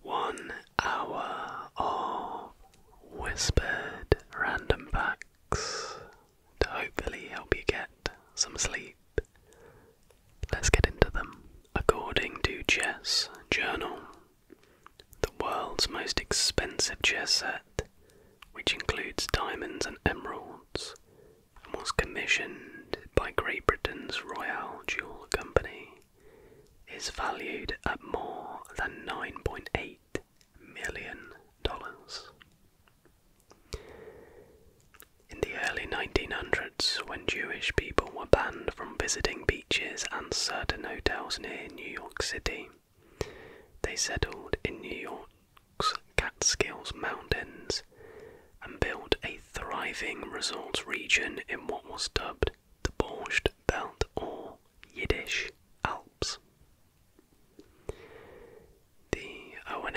One hour of whispered random facts to hopefully help you get some sleep. Let's get into them. According to Chess Journal, the world's most expensive chess set, which includes diamonds and emeralds, was commissioned by Great Britain's Royal Jewel Company is valued at more than $9.8 million. In the early 1900s, when Jewish people were banned from visiting beaches and certain hotels near New York City, they settled in New York's Catskills Mountains and built a thriving resort region in what was dubbed debauched Welt or Yiddish Alps. The o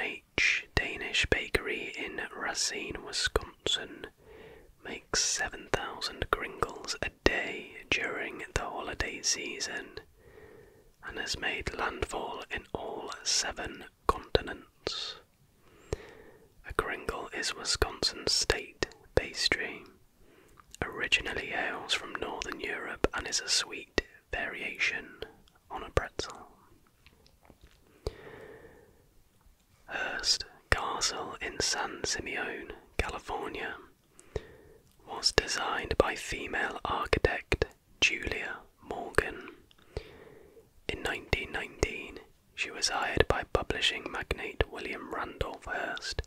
Danish bakery in Racine, Wisconsin makes 7,000 kringles a day during the holiday season and has made landfall in all seven continents. A kringle is Wisconsin's state pastry. Originally hails from northern Europe and is a sweet variation on a pretzel. Hurst Castle in San Simeon, California, was designed by female architect Julia Morgan. In 1919, she was hired by publishing magnate William Randolph Hearst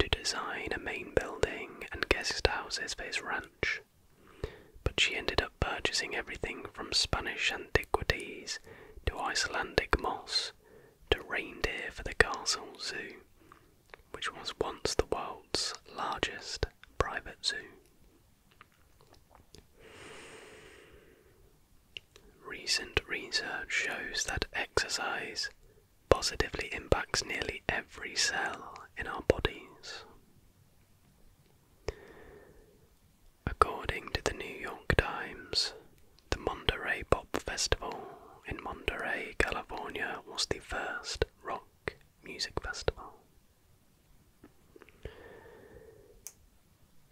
to design a main building and guest houses for his ranch. But she ended up purchasing everything from Spanish antiquities to Icelandic moss to reindeer for the castle zoo, which was once the world's largest private zoo. Recent research shows that exercise positively impacts nearly every cell in our bodies. According to the New York Times, the Monterey Pop Festival in Monterey, California was the first rock music festival.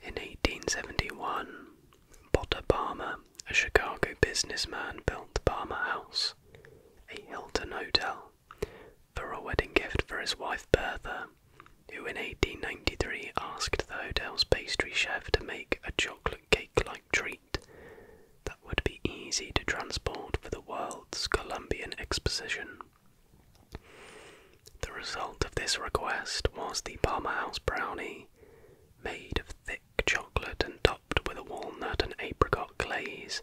In 1871, Potter Palmer, a Chicago businessman, built the Palmer House, a Hilton hotel, for a wedding gift for his wife Bertha, who in 1893 asked the hotel's pastry chef to make a chocolate cake like treat that would be easy to transport for the world's Columbian Exposition. The result of this request was the Palmer House Brownie made of thick chocolate and topped with a walnut and apricot glaze,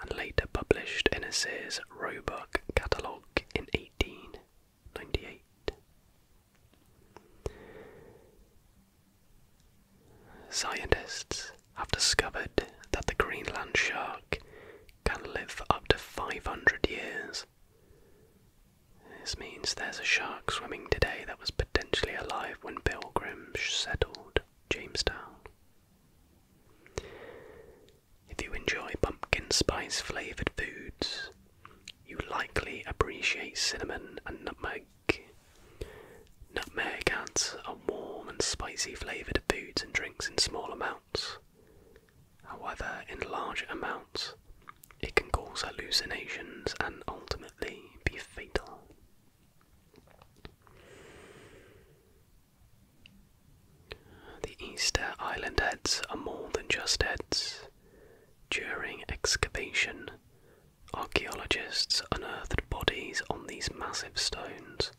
and later published in a Innes's Roebuck catalogue in 1898. Scientists have discovered that the Greenland shark can live for up to 500 years. This means there's a shark swimming today that was potentially alive when pilgrims settled Jamestown. If you enjoy pumpkin spice flavoured foods, you likely appreciate cinnamon and nutmeg. Nutmeg adds are warm and spicy flavoured foods and drinks in small amounts. However, in large amounts, it can cause hallucinations and ultimately be fatal. The Easter Island heads are more than just heads. During excavation, archaeologists unearthed bodies on these massive stones,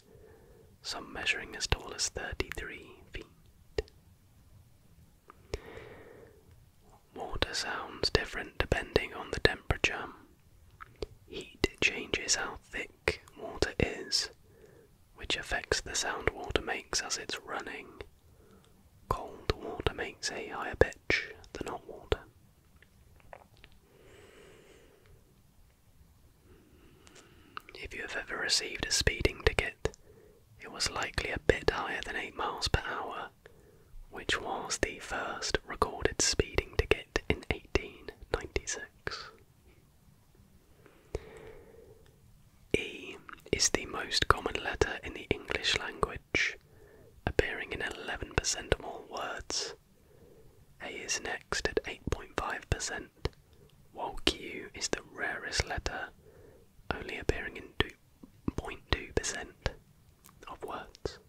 some measuring as tall as 33 feet. Water sounds different depending on the temperature. Heat changes how thick water is, which affects the sound water makes as it's running. Cold water makes a higher pitch than hot water. If you have ever received a speeding ticket, it was likely a bit higher than 8 miles per hour, which was the first recorded speeding ticket in 1896. E is the most common letter in the English language, appearing in 11% of all words. A is next at 8.5%, while Q is the rarest letter, only appearing in 2%. 0.2% of words.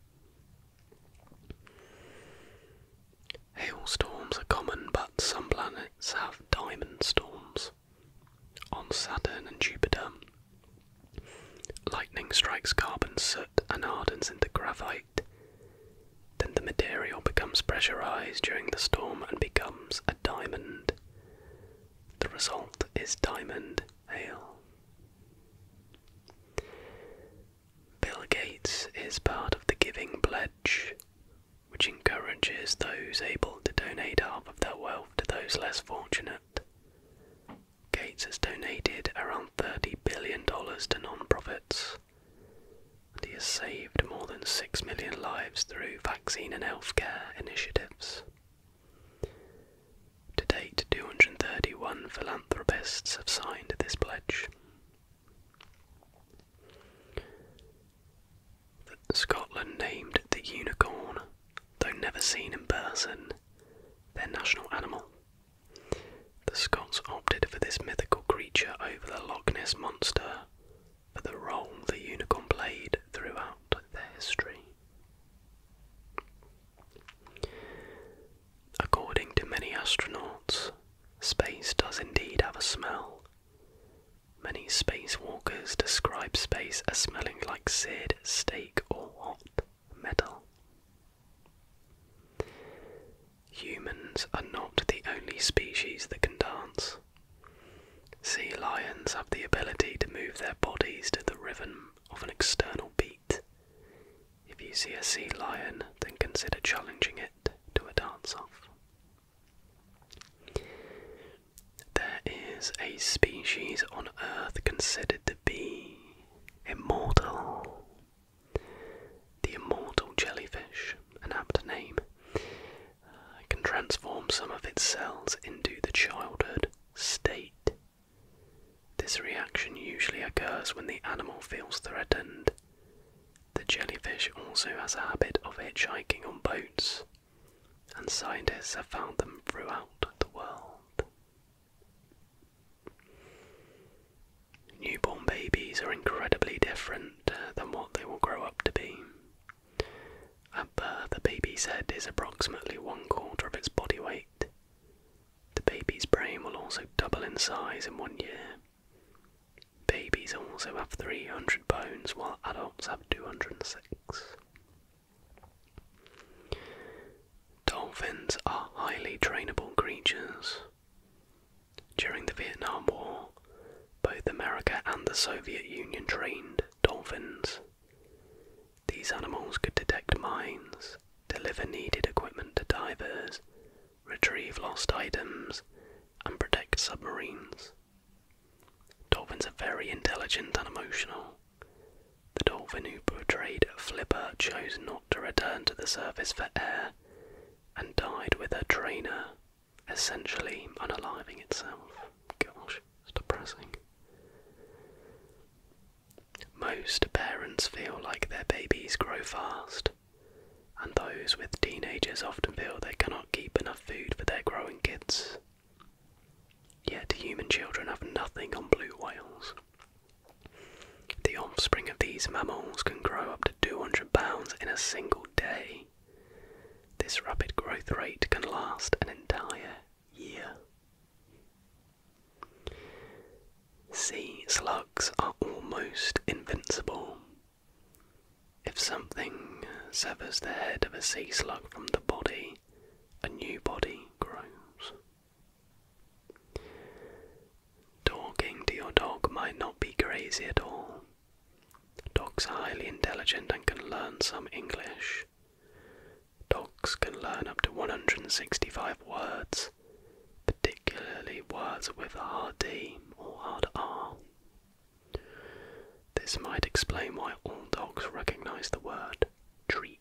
Hailstorms are common, but some planets have diamond storms. On Saturn and Jupiter, lightning strikes carbon soot and hardens into graphite. Then the material becomes pressurized during the storm and becomes a diamond. The result is diamond ale. Bill Gates is part of the Giving Pledge, which encourages those able to donate half of their wealth to those less fortunate. Gates has donated around $30 billion to non-profits, and he has saved more than 6 million lives through vaccine and healthcare initiatives. To date, 231 philanthropists have signed this pledge. Scotland named the unicorn, though never seen in person, their national animal. The Scots opted for this mythical creature over the Loch Ness monster, for the role the unicorn played throughout their history. According to many astronauts, space does indeed have a smell. Many spacewalkers describe space as smelling like seared steak or hot metal. Humans are not the only species that can dance. Sea lions have the ability to move their bodies to the rhythm of an external beat. If you see a sea lion, then consider challenging it to a dance off. There is a species on Earth considered to be immortal. The immortal jellyfish, an apt name, uh, can transform some of its cells into the childhood state. This reaction usually occurs when the animal feels threatened. The jellyfish also has a habit of hitchhiking on boats, and scientists have found them throughout the world. Newborn babies are incredibly different uh, than what they will grow up to be. At birth, a baby's head is approximately one quarter of its body weight. The baby's brain will also double in size in one year. Babies also have 300 bones, while adults have 206. Dolphins are highly trainable creatures. During the Vietnam War, both America and the Soviet Union trained dolphins these animals could detect mines, deliver needed equipment to divers, retrieve lost items, and protect submarines. Dolphins are very intelligent and emotional. The dolphin who portrayed Flipper chose not to return to the surface for air and died with her trainer, essentially unaliving itself depressing. Most parents feel like their babies grow fast, and those with teenagers often feel they cannot keep enough food for their growing kids. Yet human children have nothing on blue whales. The offspring of these mammals can grow up to 200 pounds in a single day. This rapid growth rate can last an entire year. Sea slugs are almost invincible. If something severs the head of a sea slug from the body, a new body grows. Talking to your dog might not be crazy at all. Dogs are highly intelligent and can learn some English, Dogs can learn up to 165 words, particularly words with a hard D or hard R. This might explain why all dogs recognize the word treat.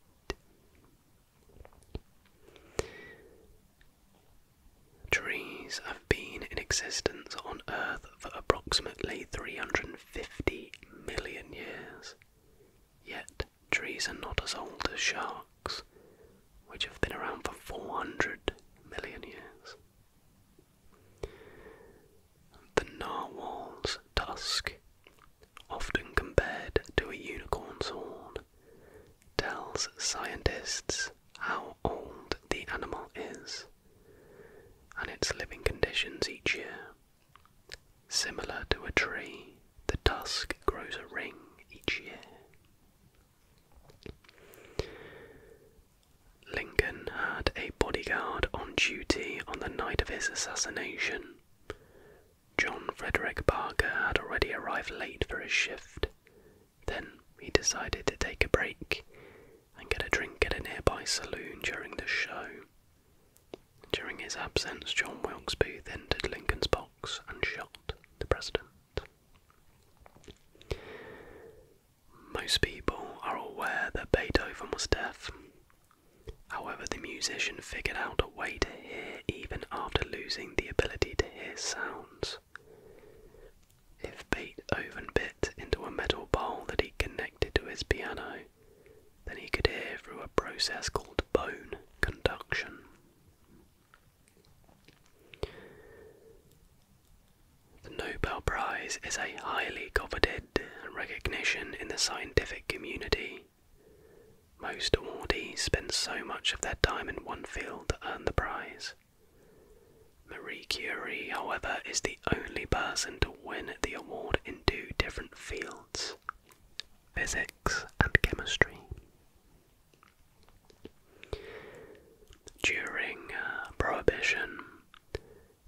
Trees have been in existence on Earth for approximately 350 Fifty million years. Yet, trees are not as old as sharks, which have been around for 400 million years. The narwhal's tusk, often compared to a unicorn's horn, tells scientists how old the animal is and its living conditions each year. Similar to a tree, the tusk grows a ring each year. Lincoln had a bodyguard on duty on the night of his assassination. John Frederick Parker had already arrived late for his shift. Then he decided to take a break and get a drink at a nearby saloon during the show during his absence, John Wilkes Booth entered Lincoln's box and shot the president. Most people are aware that Beethoven was deaf. However, the musician figured out a way to hear even after losing the ability to hear sounds. If Beethoven bit into a metal bowl that he connected to his piano, then he could hear through a process called bone conduction. The Nobel Prize is a highly coveted recognition in the scientific community. Most awardees spend so much of their time in one field to earn the prize. Marie Curie, however, is the only person to win the award in two different fields physics and chemistry. During uh, Prohibition,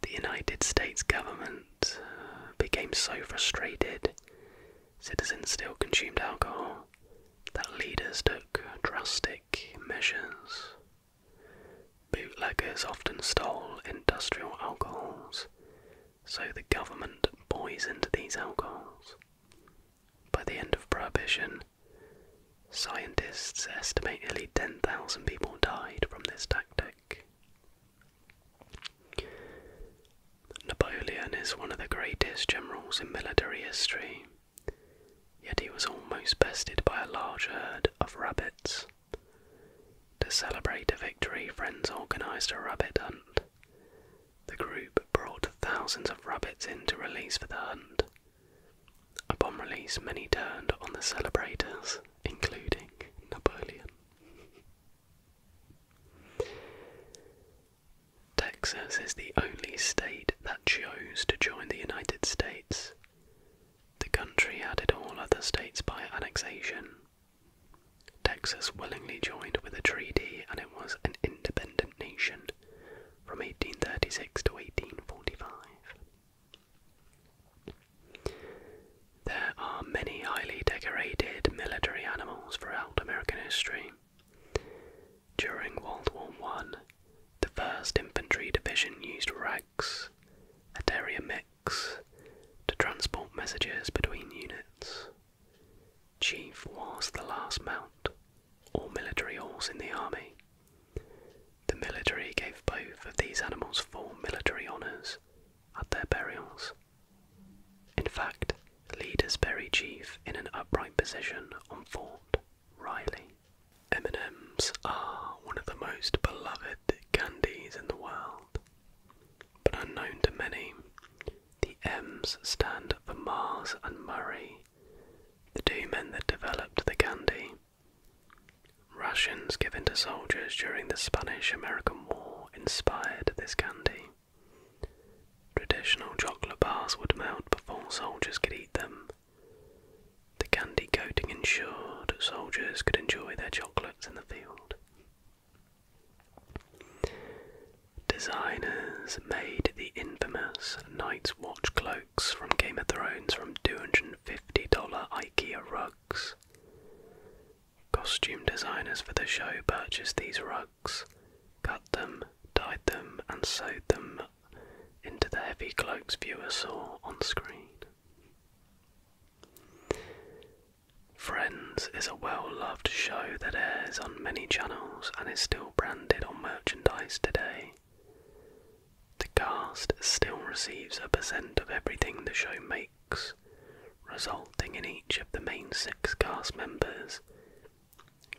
the United States government uh, became so frustrated, citizens still consumed alcohol, that leaders took drastic measures Bootleggers often stole industrial alcohols, so the government poisoned these alcohols. By the end of Prohibition, scientists estimate nearly 10,000 people died from this tactic. Napoleon is one of the greatest generals in military history, yet he was almost bested by a large herd of rabbits. To celebrate a victory, friends organised a rabbit hunt. The group brought thousands of rabbits in to release for the hunt. Upon release, many turned on the celebrators, including Napoleon. Texas is the only state that chose to join the United States the country added all other states by annexation. Texas willingly joined with a treaty and it was an independent nation from 1836 to 1845. There are many highly decorated military animals throughout American history. During World War I, the 1st Infantry Division used rags, a terrier to transport messages between units. Chief was the last mount, or military horse in the army. The military gave both of these animals full military honours at their burials. In fact, leaders bury Chief in an upright position on Fort Riley. M&Ms are one of the most beloved chocolate candies in the world, but unknown to many, the M's stand for Mars and Murray, the two men that developed the candy. Rations given to soldiers during the Spanish American War inspired this candy. Traditional chocolate bars would melt before soldiers could eat them. The candy coating ensured soldiers could enjoy their chocolates in the field. Designers made the infamous Night's Watch cloaks from Game of Thrones from $250 IKEA rugs. Costume designers for the show purchased these rugs, cut them, dyed them, and sewed them into the heavy cloaks viewers saw on screen. Friends is a well loved show that airs on many channels and is still branded on merchandise today. The cast still receives a percent of everything the show makes, resulting in each of the main six cast members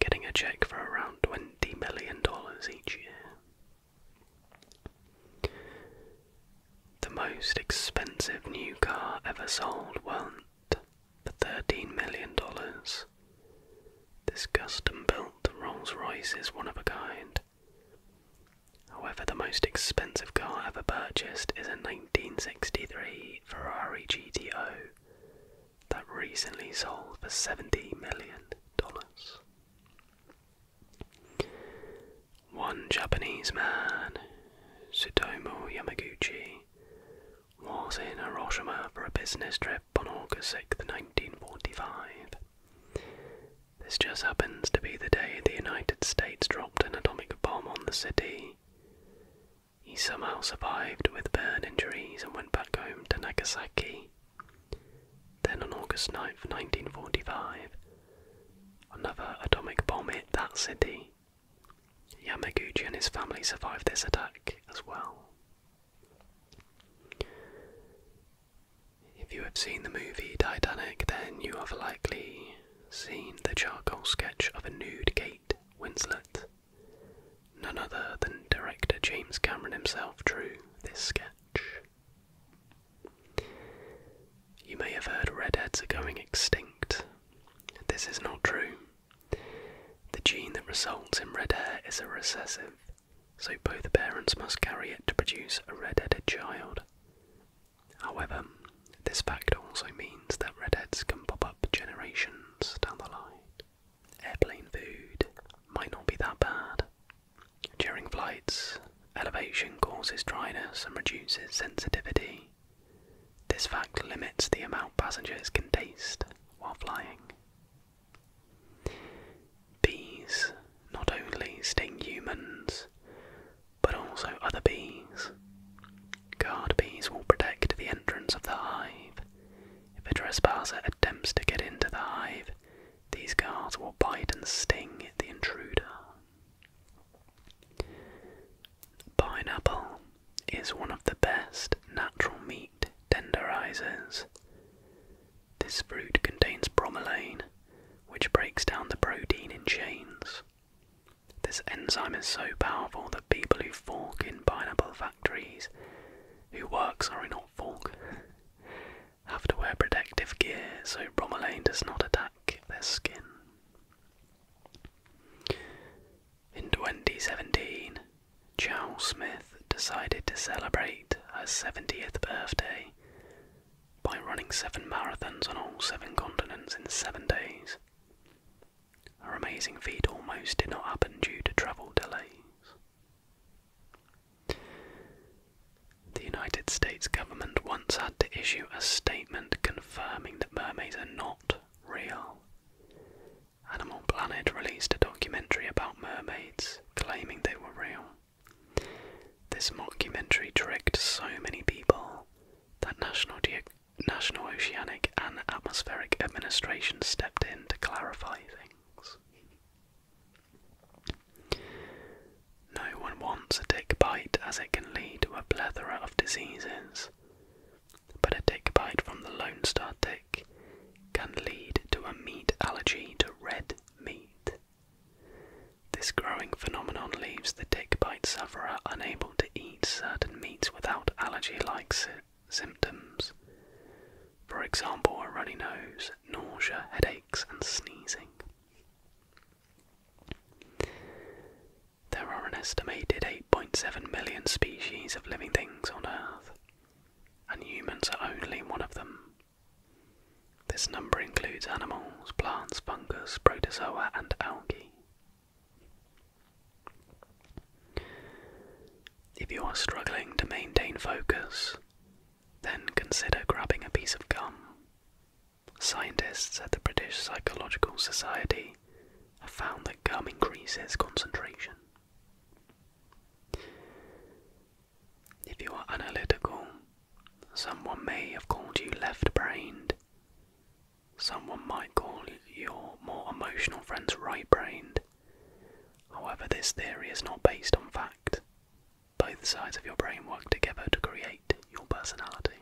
getting a check for around $20 million each year. The most expensive new car ever sold went for $13 million. This custom built Rolls Royce is one of a kind. However, the most expensive car ever purchased is a 1963 Ferrari GTO that recently sold for $70 million. One Japanese man, Tsutomu Yamaguchi, was in Hiroshima for a business trip on August 6, 1945. This just happens to be the day the United States dropped an atomic bomb on the city. He somehow survived with burn injuries and went back home to Nagasaki. Then on August 9, 1945, Another atomic bomb hit that city. Yamaguchi and his family survived this attack as well. If you have seen the movie Titanic, then you have likely seen the charcoal sketch of a nude Kate Winslet. None other than director James Cameron himself drew this sketch. You may have heard redheads are going extinct. This is not true. The gene that results in red hair is a recessive, so both parents must carry it to produce a red-headed child. However, this fact also means that redheads can pop up generations down the line. Airplane food might not be that bad, during flights, elevation causes dryness and reduces sensitivity. This fact limits the amount passengers can taste while flying. Bees not only sting humans, but also other bees. Guard bees will protect the entrance of the hive. If a trespasser attempts to get into the hive, these guards will bite and sting the intruder. Pineapple is one of the best natural meat tenderizers. This fruit contains bromelain, which breaks down the protein in chains. This enzyme is so powerful that people who fork in pineapple factories who works are sorry not fork have to wear protective gear so bromelain does not attack their skin. In 2017, Charles Smith decided to celebrate her 70th birthday by running seven marathons on all seven continents in seven days. Her amazing feat almost did not happen due to travel delays. The United States government once had to issue a statement confirming that mermaids are not real. Animal Planet released a documentary about mermaids claiming they were real. This mockumentary tricked so many people that National, National Oceanic and Atmospheric Administration stepped in to clarify things. No one wants a tick bite as it can lead to a plethora of diseases, but a tick bite from the Lone Star tick can lead to a meat allergy to red meat. This growing phenomenon leaves the tick bite sufferer unable to eat certain meats without allergy like symptoms. For example, a runny nose, nausea, headaches, and sneezing. There are an estimated 8.7 million species of living things on Earth, and humans are only one of them. This number includes animals, plants, fungus, protozoa, and algae. If you are struggling to maintain focus, then consider grabbing a piece of gum Scientists at the British Psychological Society have found that gum increases concentration. If you are analytical, someone may have called you left brained. Someone might call your more emotional friends right brained. However, this theory is not based on fact both sides of your brain work together to create your personality.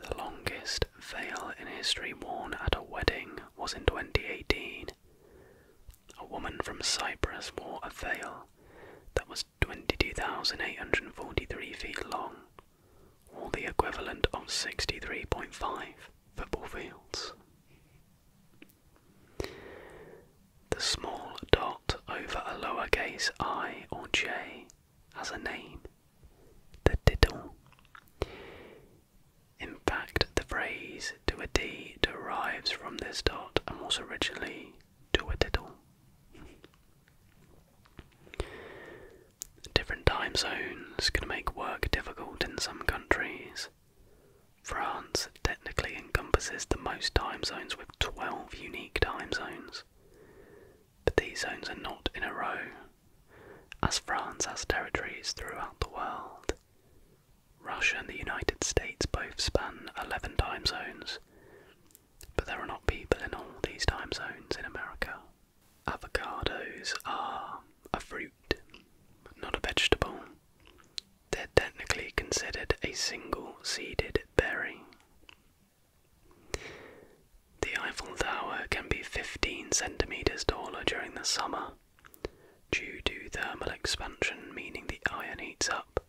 The longest veil in history worn at a wedding was in 2018. A woman from Cyprus wore a veil that was 22,843 feet long, or the equivalent of 63.5 football fields. The small dot over a lowercase i or j has a name, the diddle. In fact, the phrase do a d derives from this dot and was originally "to a diddle. Different time zones can make work difficult in some countries. France technically encompasses the most time zones with 12 unique time zones, but these zones are not in a row, as France has territories throughout the world. Russia and the United States both span 11 time zones, but there are not people in all these time zones in America. Avocados are a fruit not a vegetable. They're technically considered a single seeded berry. The Eiffel Tower can be 15 centimetres taller during the summer due to thermal expansion, meaning the iron heats up,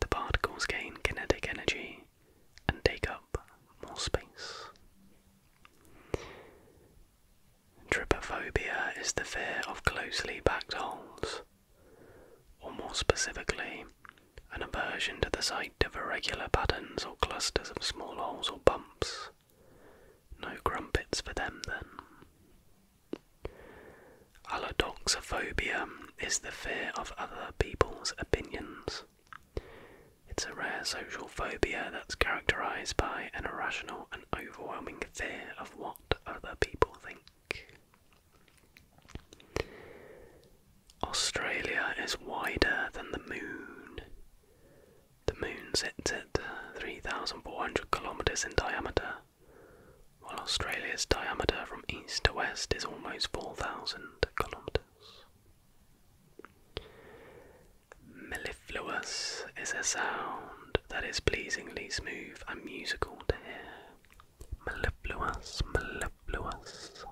the particles gain kinetic energy and take up more space. Tripophobia is the fear of closely packed holes, or more specifically, an aversion to the sight of irregular patterns or clusters of small holes or bumps. No crumpets for them then. Allodoxophobia is the fear of other people's opinions. It's a rare social phobia that's characterized by an irrational and overwhelming fear of what other people think. Australia is wider than the moon. The moon sits at uh, 3,400 kilometres in diameter, while Australia's diameter from east to west is almost 4,000 kilometres. Melifluous is a sound that is pleasingly smooth and musical to hear. Mellifluous, mellifluous.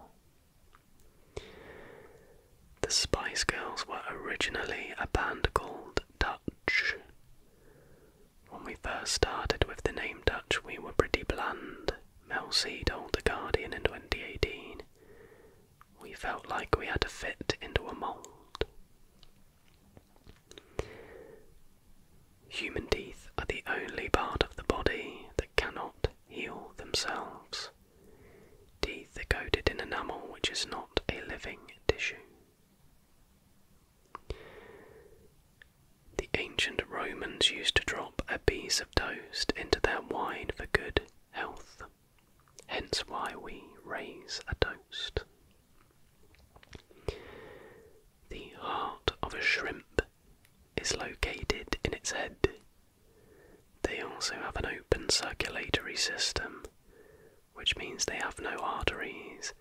The Spice Girls were originally a band called Dutch. When we first started with the name Dutch, we were pretty bland, Mel C told The Guardian in 2018. We felt like we had to fit into a mould. Human teeth are the only part of the body that cannot heal themselves. Teeth are coated in enamel, which is not a living tissue. The ancient Romans used to drop a piece of toast into their wine for good health, hence why we raise a toast. The heart of a shrimp is located in its head. They also have an open circulatory system, which means they have no arteries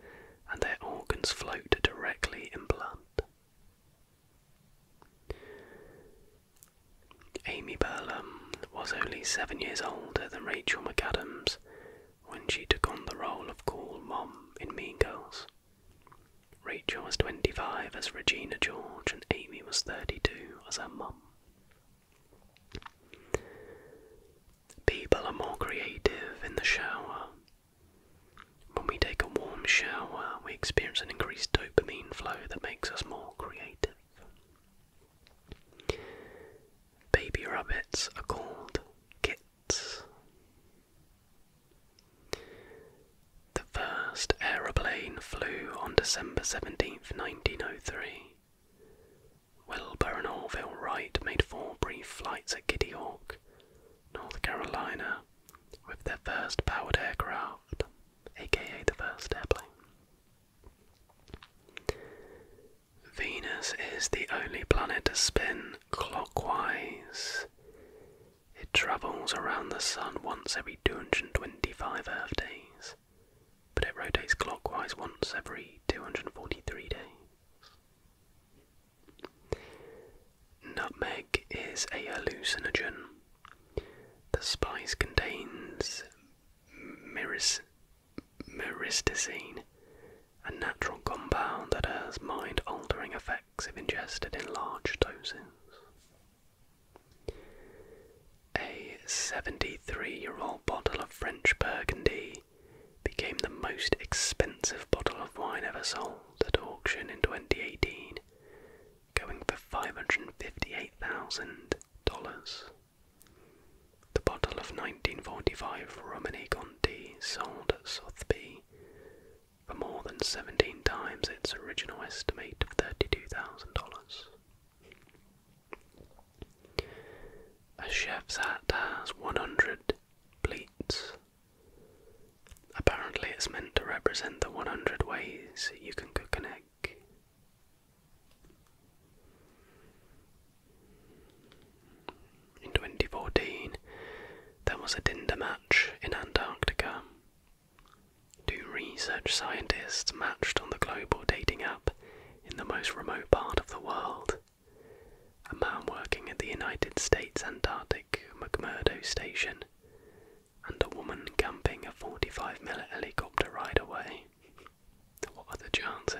and their organs float directly in blood. Amy Burlam was only seven years older than Rachel McAdams when she took on the role of cool mom in Mean Girls. Rachel was 25 as Regina George, and Amy was 32 as her mom. People are more creative in the shower. When we take a warm shower, we experience an increased dopamine flow that makes us more creative. Baby rabbits are called kits. The first aeroplane flew on December 17, 1903. Wilbur and Orville Wright made four brief flights at Kitty Hawk, North Carolina, with their first powered aircraft, aka the first airplane. Venus is the only planet to spin clockwise. It travels around the Sun once every 225 Earth days, but it rotates clockwise once every 243 days. Nutmeg is a hallucinogen. The spice contains myris Myristazine, a natural compound that has mind altering effects if ingested in large doses. A 73 year old bottle of French Burgundy became the most expensive bottle of wine ever sold at auction in 2018, going for $558,000. The bottle of 1945 Romani Conti sold at Sotheby for more than 17 times its original estimate of $32,000. A chef's hat has 100 pleats. Apparently, it's meant to represent the 100 ways you can cook an egg. In 2014, there was a Dinder match in Antarctica. Two research scientists matched on the global dating app in the most remote part of the world. A man working at the United States Antarctic McMurdo Station and a woman camping a 45 minute helicopter ride away. What are the chances?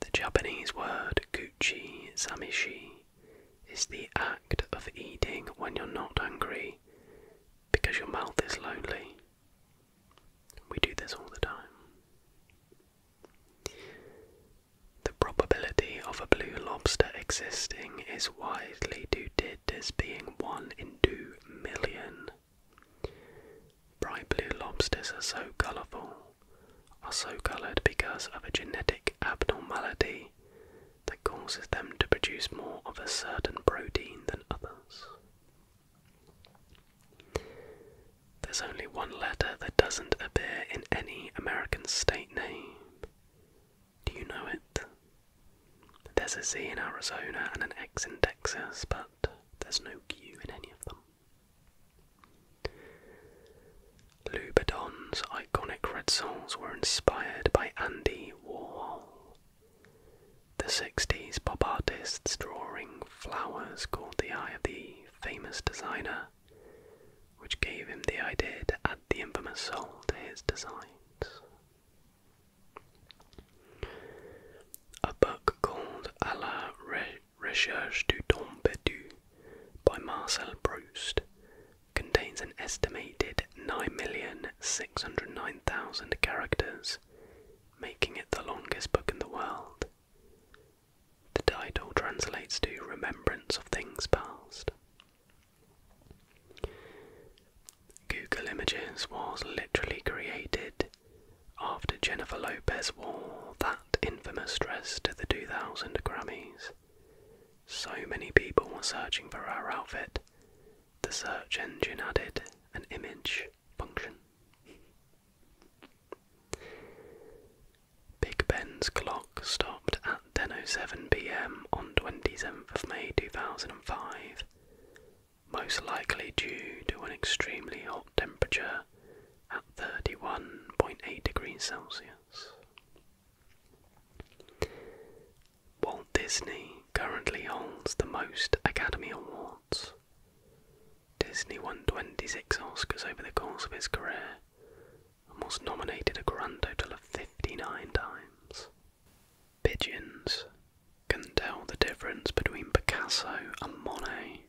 The Japanese word guchi samishi is the act of eating when you're not hungry because your mouth is lonely. We do this all the time. The probability of a blue lobster existing is widely due as being one in two million. Bright blue lobsters are so colourful, are so coloured because of a genetic abnormality that causes them to produce more of a certain protein than others. There's only one letter that doesn't appear in any American state name. Do you know it? There's a Z in Arizona and an X in Texas, but there's no Q in any of them. Louboutin's iconic red soles were inspired by Andy Warhol. The 60s pop artists drawing flowers caught the eye of the famous designer, which gave him the idea to add the infamous soul to his designs. A book called A la Recherche du Temps Perdu by Marcel Proust contains an estimated 9,609,000 characters, making it the longest book in the world. The title translates to Remembrance of Things Past. Google Images was literally created after Jennifer Lopez wore that infamous dress to the 2000 Grammys. So many people were searching for her outfit, the search engine added an image function. Big Ben's clock stopped at 10.07 pm on 27th of May 2005, most likely due to an extremely hot temperature at 31.8 degrees Celsius. Walt Disney currently holds the most Academy Awards. Disney won 26 Oscars over the course of his career and was nominated a grand total of 59 times. Pigeons can tell the difference between Picasso and Monet.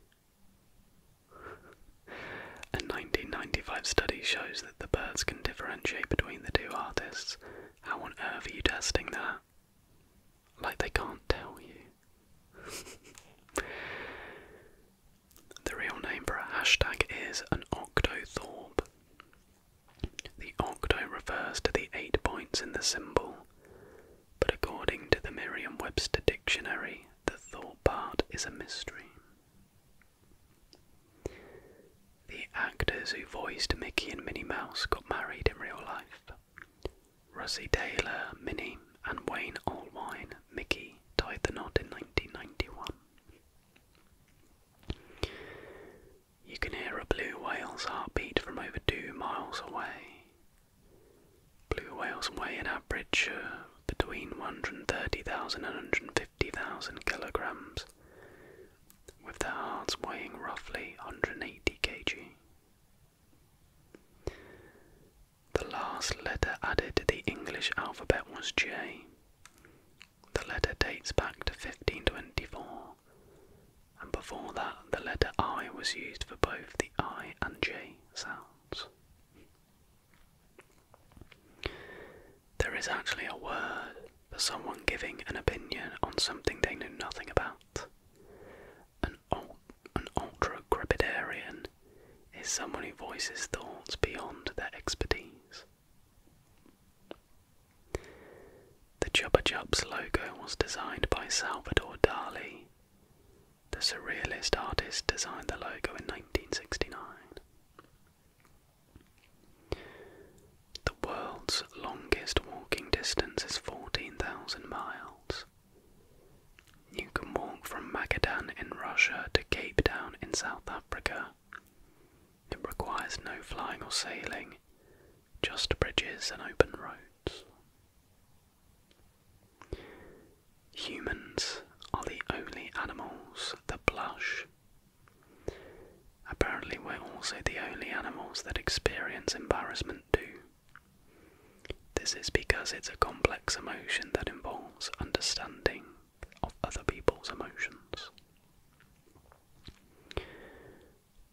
A 1995 study shows that the birds can differentiate between the two artists. How on earth are you testing that? Like they can't tell you. the real name for a hashtag is an octothorpe. The octo refers to the eight points in the symbol, but according to the Merriam Webster Dictionary, the thought part is a mystery. The actors who voiced Mickey and Minnie Mouse got married in real life. Russie Taylor, Minnie, and Wayne Allwine, Mickey, tied the knot in 1991. You can hear a blue whale's heartbeat from over two miles away. Blue whales weigh an average uh, between 130,000 and 150,000 kilograms, with their hearts weighing roughly 180 kg. The last letter added to the English alphabet was J. The letter dates back to 1524 and before that, the letter I was used for both the I and J sounds. There is actually a word for someone giving an opinion on something they know nothing about. An, an ultra crepidarian is someone who voices thoughts beyond their expertise. The Chubba Chups logo was designed by Salvador Dali. The surrealist artist designed the logo in 1969. The world's longest walking distance is 14,000 miles. You can walk from Magadan in Russia to Cape Town in South Africa. It requires no flying or sailing just bridges and open roads. Humans are the only animals that blush. Apparently, we're also the only animals that experience embarrassment too. This is because it's a complex emotion that involves understanding of other people's emotions.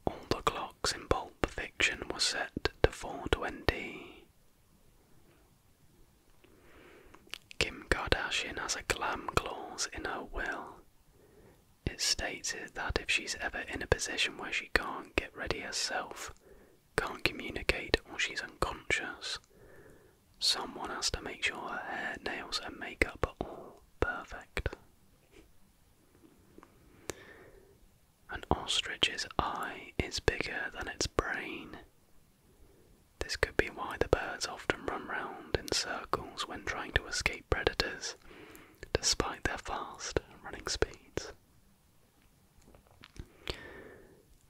All the clocks in Pulp Fiction were set to 420. Kim Kardashian has a glam clause in her will. It states that if she's ever in a position where she can't get ready herself, can't communicate, or she's unconscious, someone has to make sure her hair, nails, and makeup are all perfect. An ostrich's eye is bigger than its brain. This could be why the birds often run round in circles when trying to escape predators, despite their fast running speeds.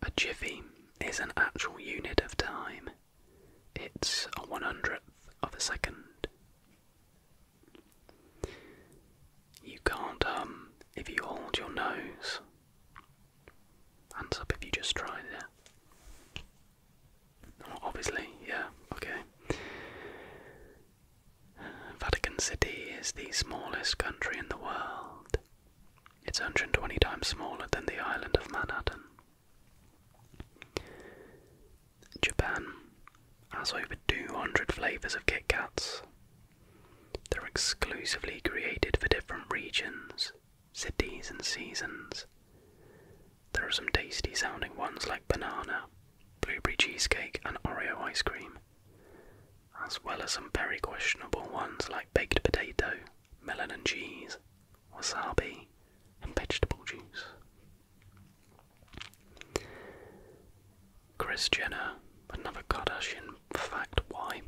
A jiffy is an actual unit of time, it's a one hundredth of a second. You can't um, if you hold your nose. Hands up if you just tried it. obviously, yeah, okay. Vatican City is the smallest country in the world. It's 120 times smaller than the island of Manhattan. Japan has over 200 flavours of Kit Kats. They're exclusively created for different regions, cities, and seasons. There are some tasty sounding ones like banana, blueberry cheesecake, and Oreo ice cream, as well as some very questionable ones like baked potato, melon and cheese, wasabi, and vegetable juice. Chris Jenner, another Kardashian fact why.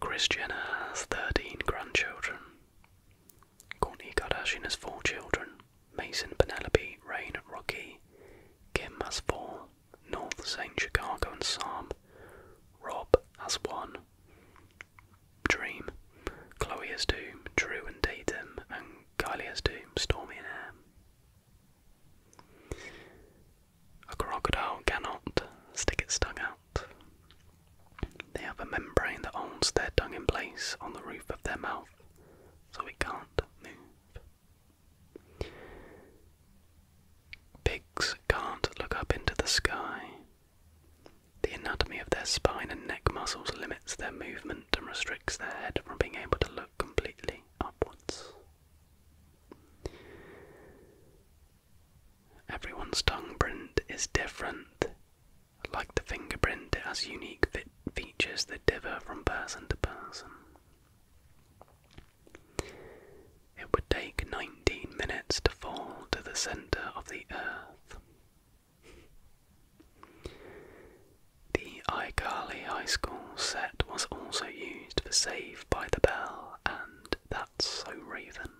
Chris Jenner has 13 grandchildren. Kourtney Kardashian has four children. Mason, Penelope, Rain, Rocky. Kim has four. North, Saint, Chicago, and Sam. Rob has one. Dream. Chloe has two. Drew and Tatum. And Kylie doom, Stormy and Ham. A crocodile cannot stick its tongue out. They have a membrane that holds their tongue in place on the roof of their mouth, so we can't move. Pigs can't look up into the sky. The anatomy of their spine and neck muscles limits their movement. And restricts their head from being able to look completely upwards. Everyone's tongue print is different. Like the fingerprint, it has unique features that differ from person to person. It would take 19 minutes to fall to the center of the earth. The iCarly High School set was also used for Save by the Bell and That's So Raven.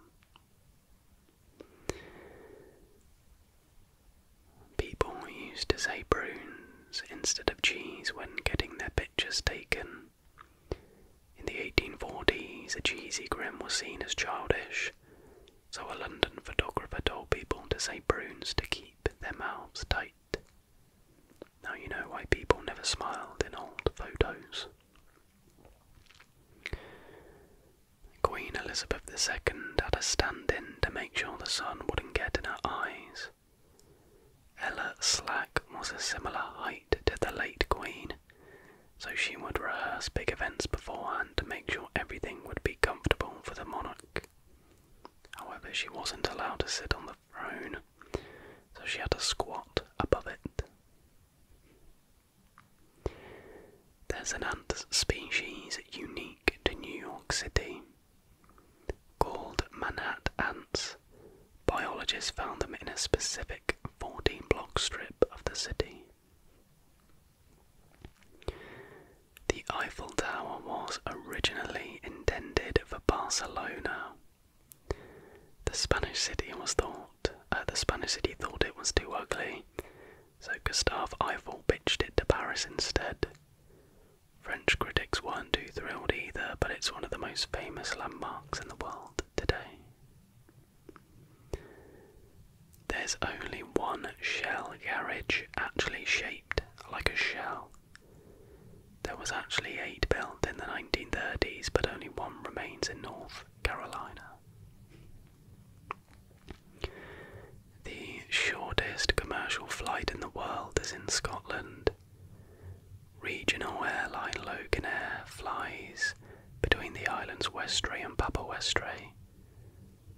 People used to say prunes instead of cheese when getting their pictures taken. In the 1840s, a cheesy grin was seen as childish, so a London photographer told people to say prunes to keep keep their mouths tight. Now you know why people never smiled in old photos. Queen Elizabeth II had a stand in to make sure the sun wouldn't get in her eyes. Ella Slack was a similar height to the late Queen, so she would rehearse big events beforehand to make sure everything would be comfortable for the monarch. However, she wasn't allowed to sit on the throne, so she had to squat above it. There's an ant species unique to New York City called Manhattan ants. Biologists found them in a specific 14 block strip of the city. The Eiffel Tower was originally intended for Barcelona. The Spanish city was thought uh, the Spanish city thought it was too ugly, so Gustave Eiffel pitched it to Paris instead. French critics weren't too thrilled either, but it's one of the most famous landmarks in the world today. There's only one shell garage actually shaped like a shell. There was actually eight built in the 1930s, but only one remains in North Carolina. The shortest commercial flight in the world is in Scotland. Regional airline Loganair flies between the islands Westray and Papa Westray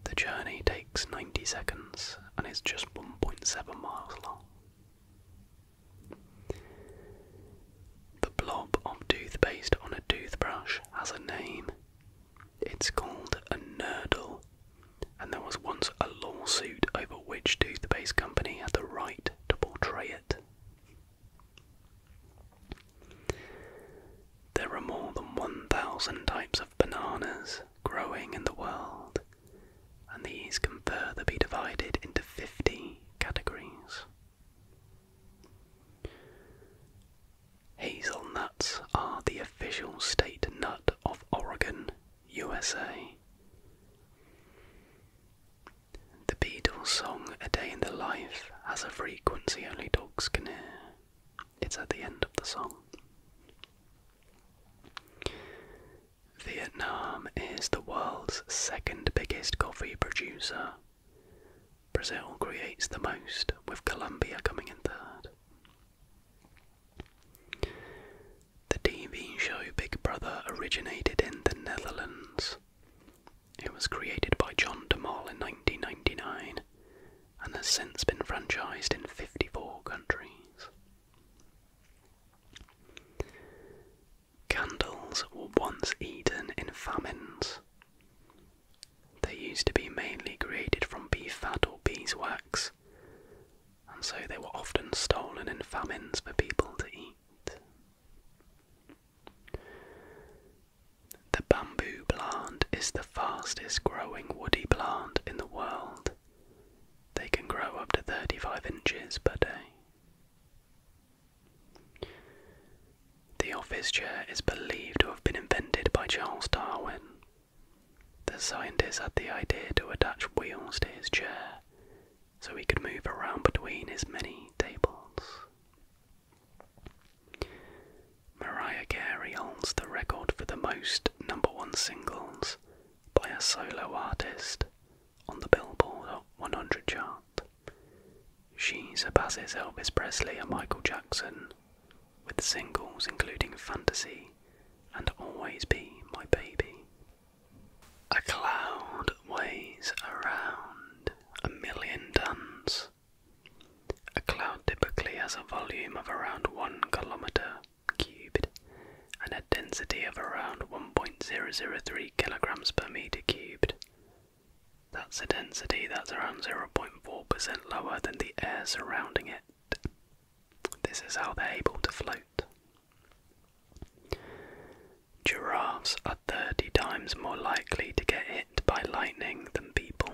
the journey takes 90 seconds and is just 1.7 miles long. The blob of toothpaste on a toothbrush has a name. It's called a nurdle, and there was once a lawsuit over which toothpaste company had the right to portray it. There are more than 1,000 types of bananas, growing in the world, and these can further be divided into 50 categories. Hazelnuts are the official state nut of Oregon, USA. The Beatles' song A Day in the Life has a frequency only dogs can hear. It's at the end of the song. Vietnam is the world's second biggest coffee producer. Brazil creates the most, with Colombia coming in third. The TV show Big Brother originated in the Netherlands. It was created by John de Mol in 1999 and has since been franchised in 54 countries. Candles were once eaten in famines. They used to be mainly created from bee fat or beeswax, and so they were often stolen in famines for people to eat. The bamboo plant is the fastest growing woody plant in the world they can grow up to 35 inches per day. The office chair is believed to have been invented by Charles Darwin. The scientist had the idea to attach wheels to his chair so he could move around between his many tables. Mariah Carey holds the record for the most number one singles by a solo artist on the Billboard 100 chart. She surpasses Elvis Presley and Michael Jackson with singles including Fantasy and Always Be My Baby. A cloud weighs around a million tons. A cloud typically has a volume of around one kilometre cubed and a density of around 1.003 kilograms per meter cubed. That's a density that's around 0.4% lower than the air surrounding it. This is how they're able to float. Giraffes are 30 times more likely to get hit by lightning than people.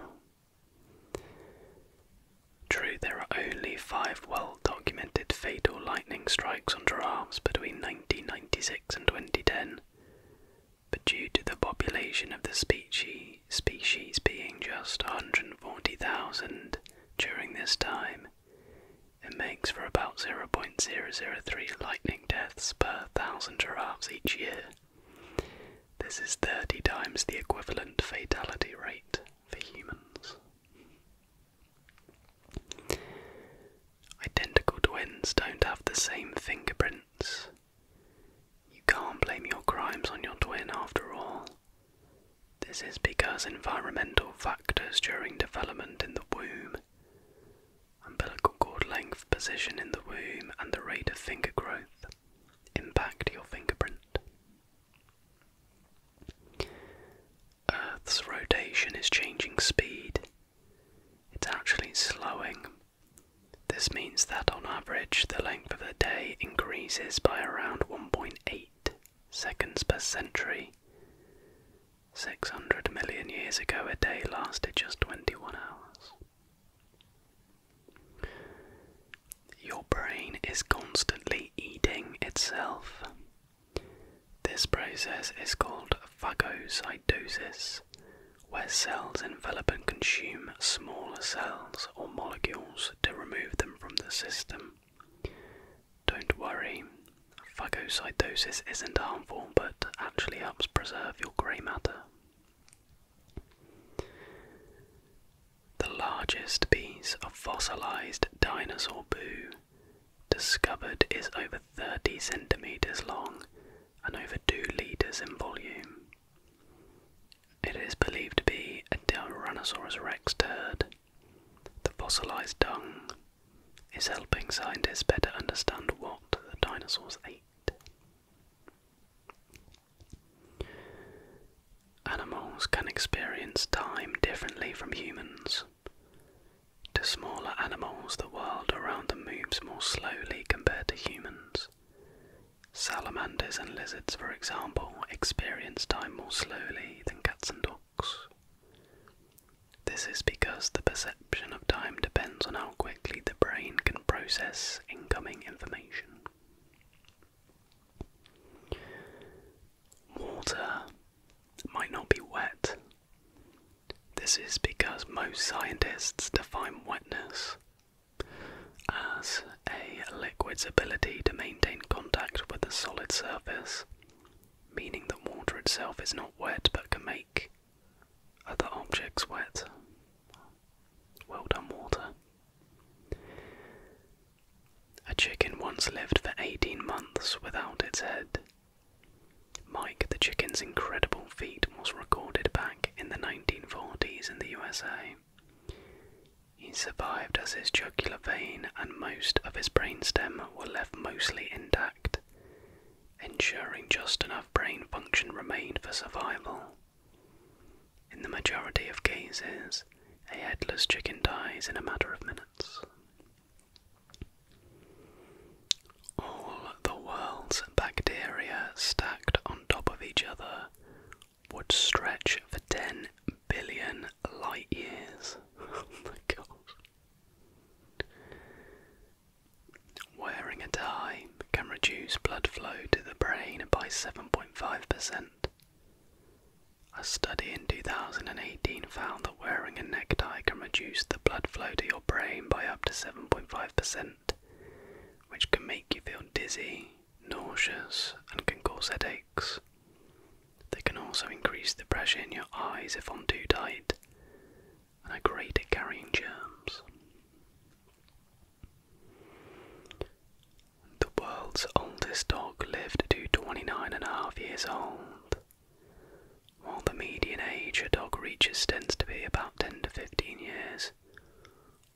True, there are only five well documented fatal lightning strikes on giraffes between 1996 and 2010, but due to the population of the species, species being just 140,000 during this time, it makes for about 0.003 lightning deaths per thousand giraffes each year. This is 30 times the equivalent fatality rate for humans. Identical twins don't have the same fingerprints. You can't blame your crimes on your twin after all. This is because environmental factors during development in the womb, umbilical cord length, position in the womb, and the rate of finger growth impact your fingerprint. Earth's rotation is changing speed. It's actually slowing. This means that on average the length of the day increases by around 1.8 seconds per century. 600 million years ago, a day lasted just 21 hours. Your brain is constantly eating itself. This process is called phagocytosis, where cells envelop and consume smaller cells or molecules to remove them from the system. Don't worry, phagocytosis isn't harmful but actually helps preserve your grey matter the largest piece of fossilized dinosaur poo discovered is over 30 centimeters long and over 2 liters in volume. It is believed to be a Tyrannosaurus rex turd. The fossilized dung is helping scientists better understand what the dinosaurs ate. Animals can experience time differently from humans. To smaller animals, the world around them moves more slowly compared to humans. Salamanders and lizards, for example, experience time more slowly than cats and dogs. This is because the perception of time depends on how quickly the brain can process incoming information. Water might not be wet. This is because most scientists define wetness as a liquid's ability to maintain contact with a solid surface, meaning that water itself is not wet but can make other objects wet. Well done, water. A chicken once lived for 18 months without its head. Mike the Chicken's incredible feat was recorded back in the 1940s in the USA. He survived as his jugular vein and most of his brainstem were left mostly intact, ensuring just enough brain function remained for survival. In the majority of cases, a headless chicken dies in a matter of minutes. All the world's bacteria stacked on top of each other would stretch for 10 billion light years. Oh my god. Wearing a tie can reduce blood flow to the brain by 7.5%. A study in 2018 found that wearing a necktie can reduce the blood flow to your brain by up to 7.5%, which can make you feel dizzy, nauseous, and can cause headaches. They can also increase the pressure in your eyes if on too tight and are great at carrying germs. The world's oldest dog lived to twenty-nine and a half years old. While the median age a dog reaches tends to be about 10 to 15 years,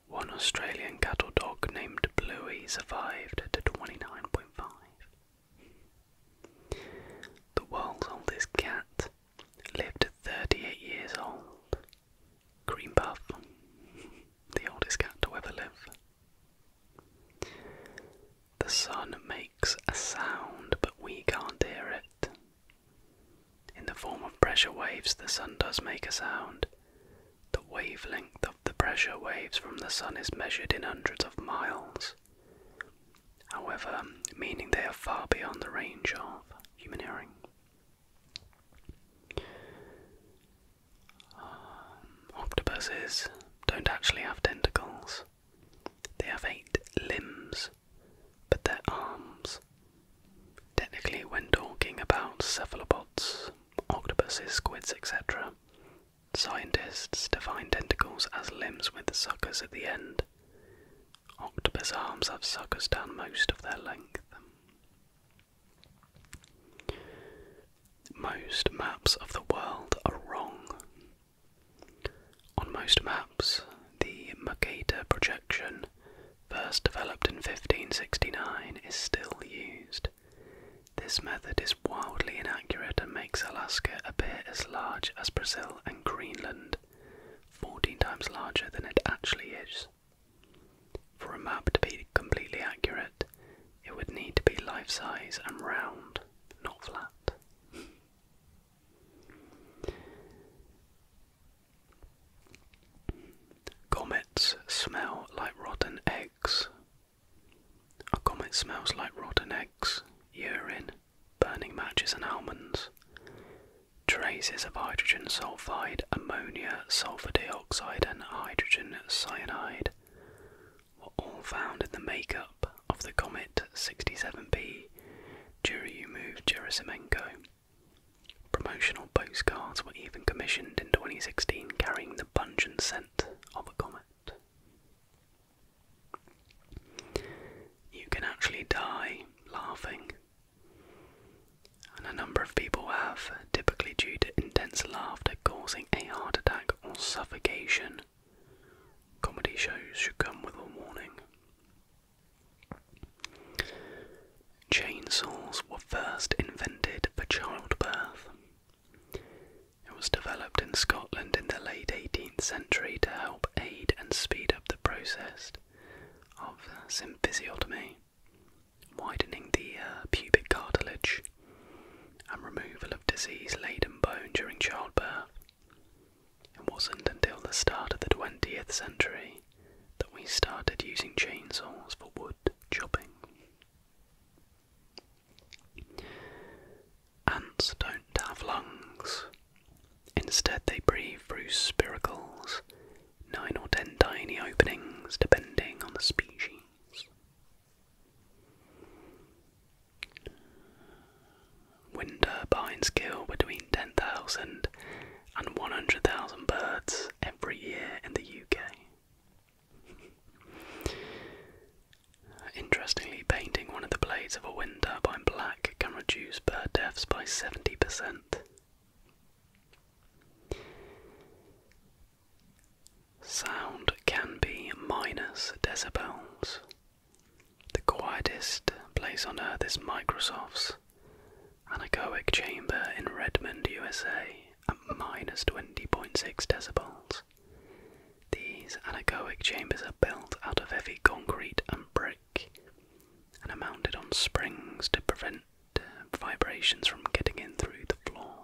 one Australian cattle dog named Bluey survived to 29.5. The world's oldest cat lived to 38 years old. Greenbuff, the oldest cat to ever live. The sun makes a sound, but we can't hear it. In the form of pressure waves, the sun does make a sound. The wavelength of the pressure waves from the sun is measured in hundreds of miles. However, meaning they are far beyond the range of human hearing. Um, octopuses don't actually have tentacles, they have eight limbs, but their arms. Technically, when talking about cephalopods, octopuses, squids, etc., scientists define tentacles as limbs with suckers at the end. Octopus arms have suckers down most of their length. Most maps of the world are wrong. On most maps, the Mercator projection, first developed in 1569, is still used. This method is wildly inaccurate and makes Alaska appear as large as Brazil and Greenland, 14 times larger than it actually is. For a map to be completely accurate, it would need to be life size and round, not flat. Comets smell like rotten eggs. A comet smells like rotten eggs, urine, burning matches, and almonds. Traces of hydrogen sulfide, ammonia, sulfur dioxide and hydrogen cyanide were all found in the makeup of the comet 67b Churyumov Gerasimenko. Promotional postcards were even commissioned in 2016 carrying the pungent scent of a comet. You can actually die laughing and a number of people have, typically due to intense laughter causing a heart attack or suffocation. Comedy shows should come with a warning. Chainsaws were first invented for childbirth. It was developed in Scotland in the late 18th century to help aid and speed up the process of symphysiotomy widening the uh, pubic cartilage and removal of disease laden bone during childbirth. It wasn't until the start of the 20th century that we started using chainsaws for wood chopping. Ants don't have lungs. Instead, they breathe through spiracles, nine or ten tiny openings depending on the species. Wind turbines kill between 10,000 and 100,000 birds every year in the UK. Interestingly, painting one of the blades of a wind turbine black can reduce bird deaths by 70%. Sound can be minus decibels. The quietest place on earth is Microsoft's anechoic chamber in Redmond, USA, at minus 20.6 decibels. These anechoic chambers are built out of heavy concrete and brick and are mounted on springs to prevent vibrations from getting in through the floor.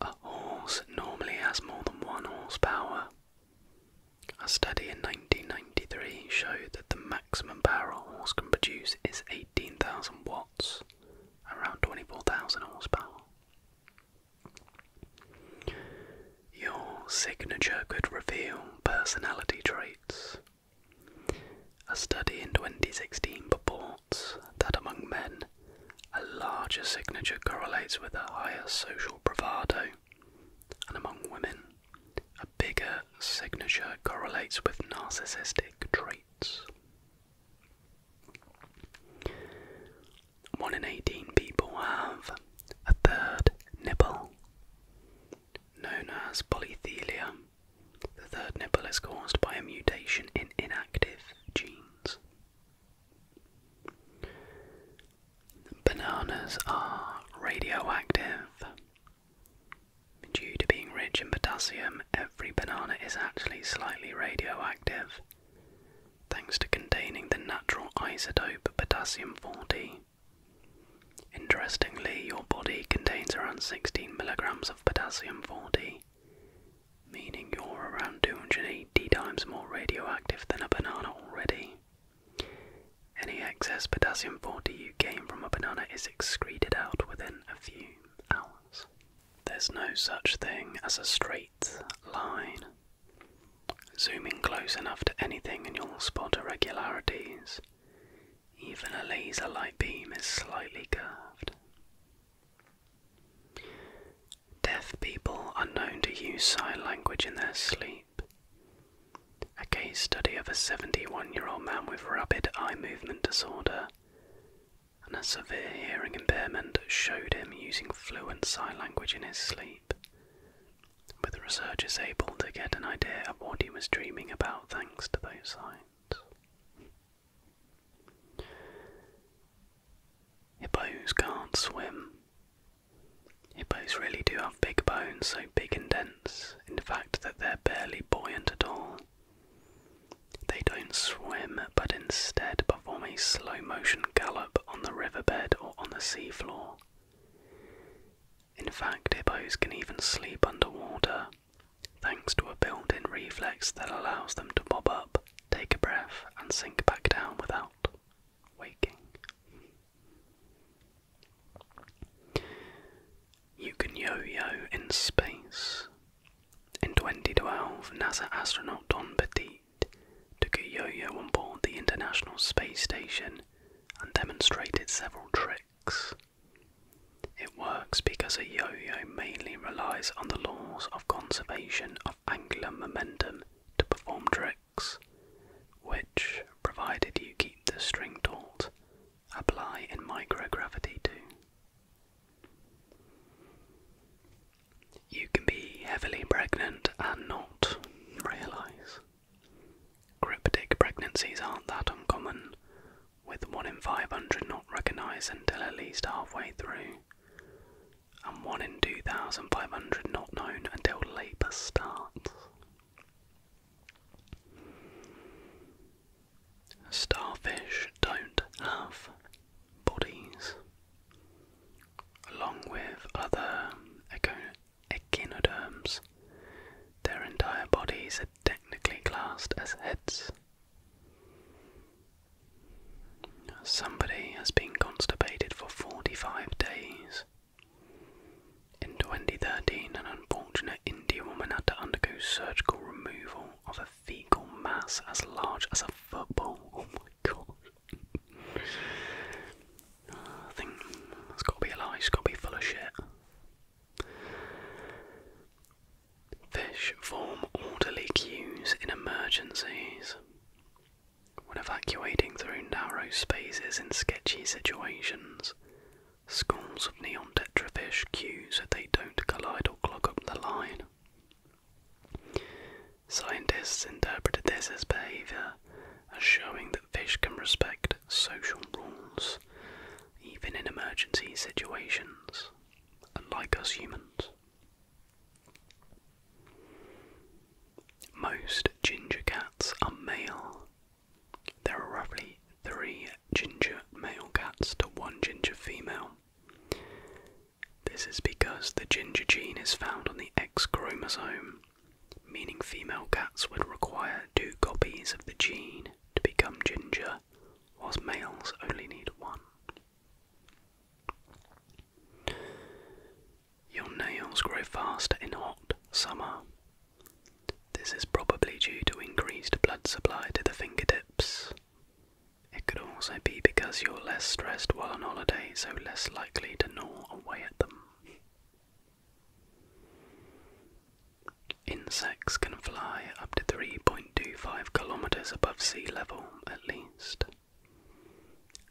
A horse normally has more than one horsepower. A study in 1993 showed that the maximum power a horse can produce is 18,000 watts, around 24,000 horsepower. Your signature could reveal personality traits. A study in 2016 purports that among men, a larger signature correlates with a higher social bravado, and among women, a bigger signature correlates with narcissistic traits. 1 in 18 people have a third nipple, known as polythelia. The third nipple is caused by a mutation in inactive genes. Bananas are radioactive. Due to being rich in potassium, every banana is actually slightly radioactive, thanks to containing the natural isotope potassium 40 Interestingly, your body contains around 16 milligrams of potassium 40, meaning you're around 280 times more radioactive than a banana already. Any excess potassium 40 you gain from a banana is excreted out within a few hours. There's no such thing as a straight line. Zooming close enough to anything and you'll spot irregularities. Even a laser light beam is slightly curved. Deaf people are known to use sign language in their sleep. A case study of a 71 year old man with rapid eye movement disorder and a severe hearing impairment showed him using fluent sign language in his sleep, with researchers able to get an idea of what he was dreaming about thanks to those signs. Hippos can't swim. Hippos really do have big bones, so big and dense, in fact, that they're barely buoyant at all. They don't swim, but instead perform a slow motion gallop on the riverbed or on the seafloor. In fact, hippos can even sleep underwater, thanks to a built in reflex that allows them to bob up, take a breath, and sink back down without waking. You can yo yo in space. In 2012, NASA astronaut Don Petit took a yo yo on board the International Space Station and demonstrated several tricks. It works because a yo-yo mainly relies on the laws of conservation of angular momentum to perform tricks, which, provided you keep the string taut, apply in microgravity too. You can be heavily pregnant and not realise. Cryptic pregnancies aren't that uncommon, with 1 in 500 not recognised until at least halfway through, and 1 in 2,500 not known until labour starts. Starfish don't have bodies. Along with other echinoderms, their entire bodies are technically classed as heads. Somebody has been constipated for 45 days. In 2013, an unfortunate Indian woman had to undergo surgical removal of a fecal mass as large as a football. Oh my god. I think that's got to be a lie, it's got to be full of shit. Fish form orderly queues in emergencies. When evacuating through narrow spaces in sketchy situations, schools of neon tetra fish queue so they don't collide or clog up the line. Scientists interpreted this as behaviour as showing that fish can respect social rules even in emergency situations, unlike us humans. Most ginger cats are male. There are roughly three ginger male cats to one ginger female. This is because the ginger gene is found on the X chromosome, meaning female cats would require two copies of the gene to become ginger, whilst males only need one. Your nails grow faster in hot summer. This is probably due to increased blood supply to the fingertips. It could also be because you're less stressed while on holiday, so less likely to gnaw away at them. Insects can fly up to 3.25 kilometers above sea level at least.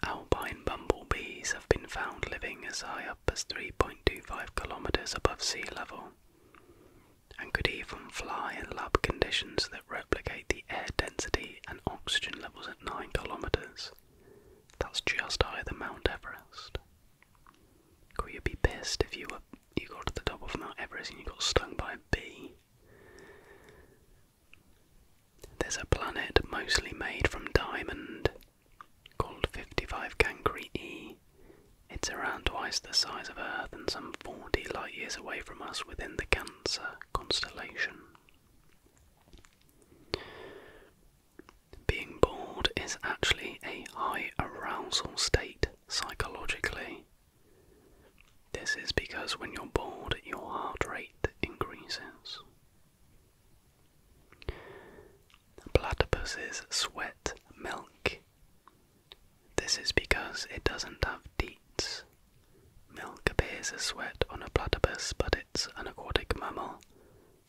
Alpine bumblebees have been found living as high up as 3.25 kilometers above sea level and could even fly in lab conditions that replicate the air density and oxygen levels at 9 kilometers. That's just higher than Mount Everest. Could you be pissed if you were you got to the top of Mount Everest and you got stung by a bee? There's a planet mostly made from diamond called 55 Cancri E. It's around twice the size of Earth and some 40 light years away from us within the Cancer constellation. Being bored is actually a high arousal state psychologically. This is because when you're bored, your heart rate increases. Platypuses sweat milk. This is because it doesn't have deets. Milk appears as sweat on a platypus, but it's an aquatic mammal,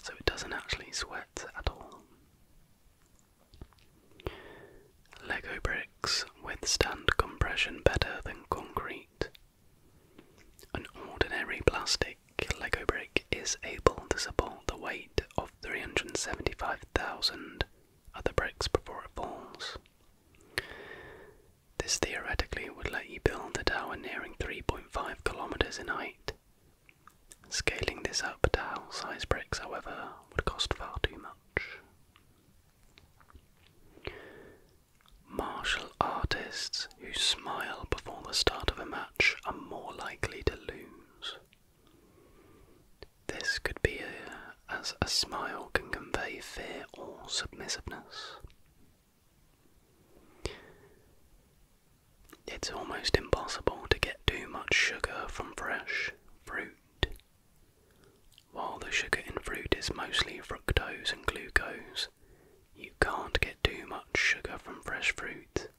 so it doesn't actually sweat at all. Lego bricks withstand compression better than concrete. An ordinary plastic Lego brick is able to support the weight of 375,000 other bricks before it falls. This theoretically would let you build a tower nearing 3.5 kilometers in height Scaling this up to house size bricks, however, would cost far too much. Martial artists who smile before the start of a match are more likely to lose. This could be as a smile can convey fear or submissiveness. It's almost impossible to get too much sugar from fresh fruit. While the sugar in fruit is mostly fructose and glucose, you can't get too much sugar from fresh fruit.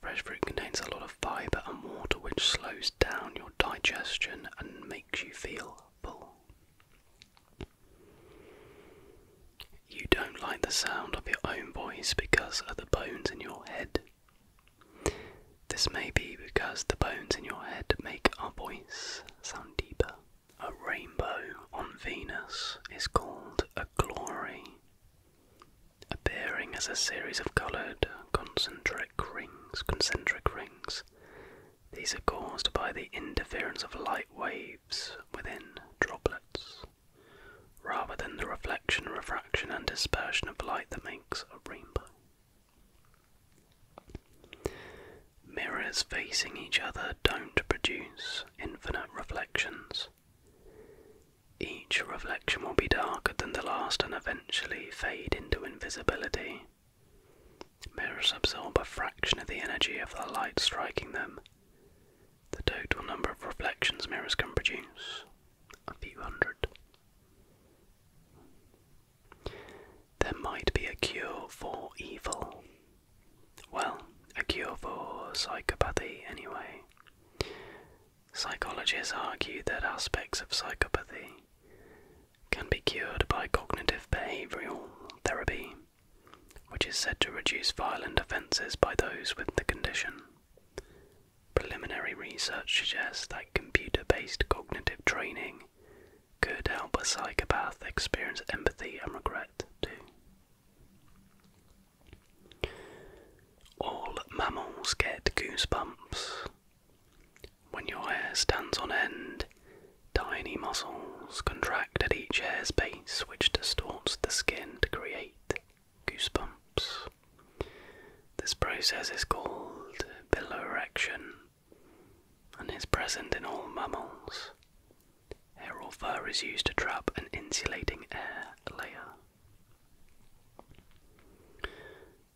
Fresh fruit contains a lot of fiber and water, which slows down your digestion and makes you feel full. You don't like the sound of your own voice because of the bones in your head this may be because the bones in your head make our voice sound deeper. A rainbow on Venus is called a glory, appearing as a series of coloured concentric rings. Concentric rings. These are caused by the interference of light waves within droplets rather than the reflection, refraction, and dispersion of light that makes a rainbow. Mirrors facing each other don't produce infinite reflections. Each reflection will be darker than the last and eventually fade into invisibility. Mirrors absorb a fraction of the energy of the light striking them, the total number of reflections mirrors can produce a few hundred. There might be a cure for evil. Well, a cure for psychopathy, anyway. Psychologists argue that aspects of psychopathy can be cured by cognitive behavioral therapy, which is said to reduce violent offences by those with the condition. Preliminary research suggests that computer based cognitive training could help a psychopath experience empathy and regret too. All mammals get goosebumps. When your hair stands on end, tiny muscles contract at each hair's base, which distorts the skin to create goosebumps. This process is called piloerection and is present in all mammals. Hair or fur is used to trap an insulating air layer.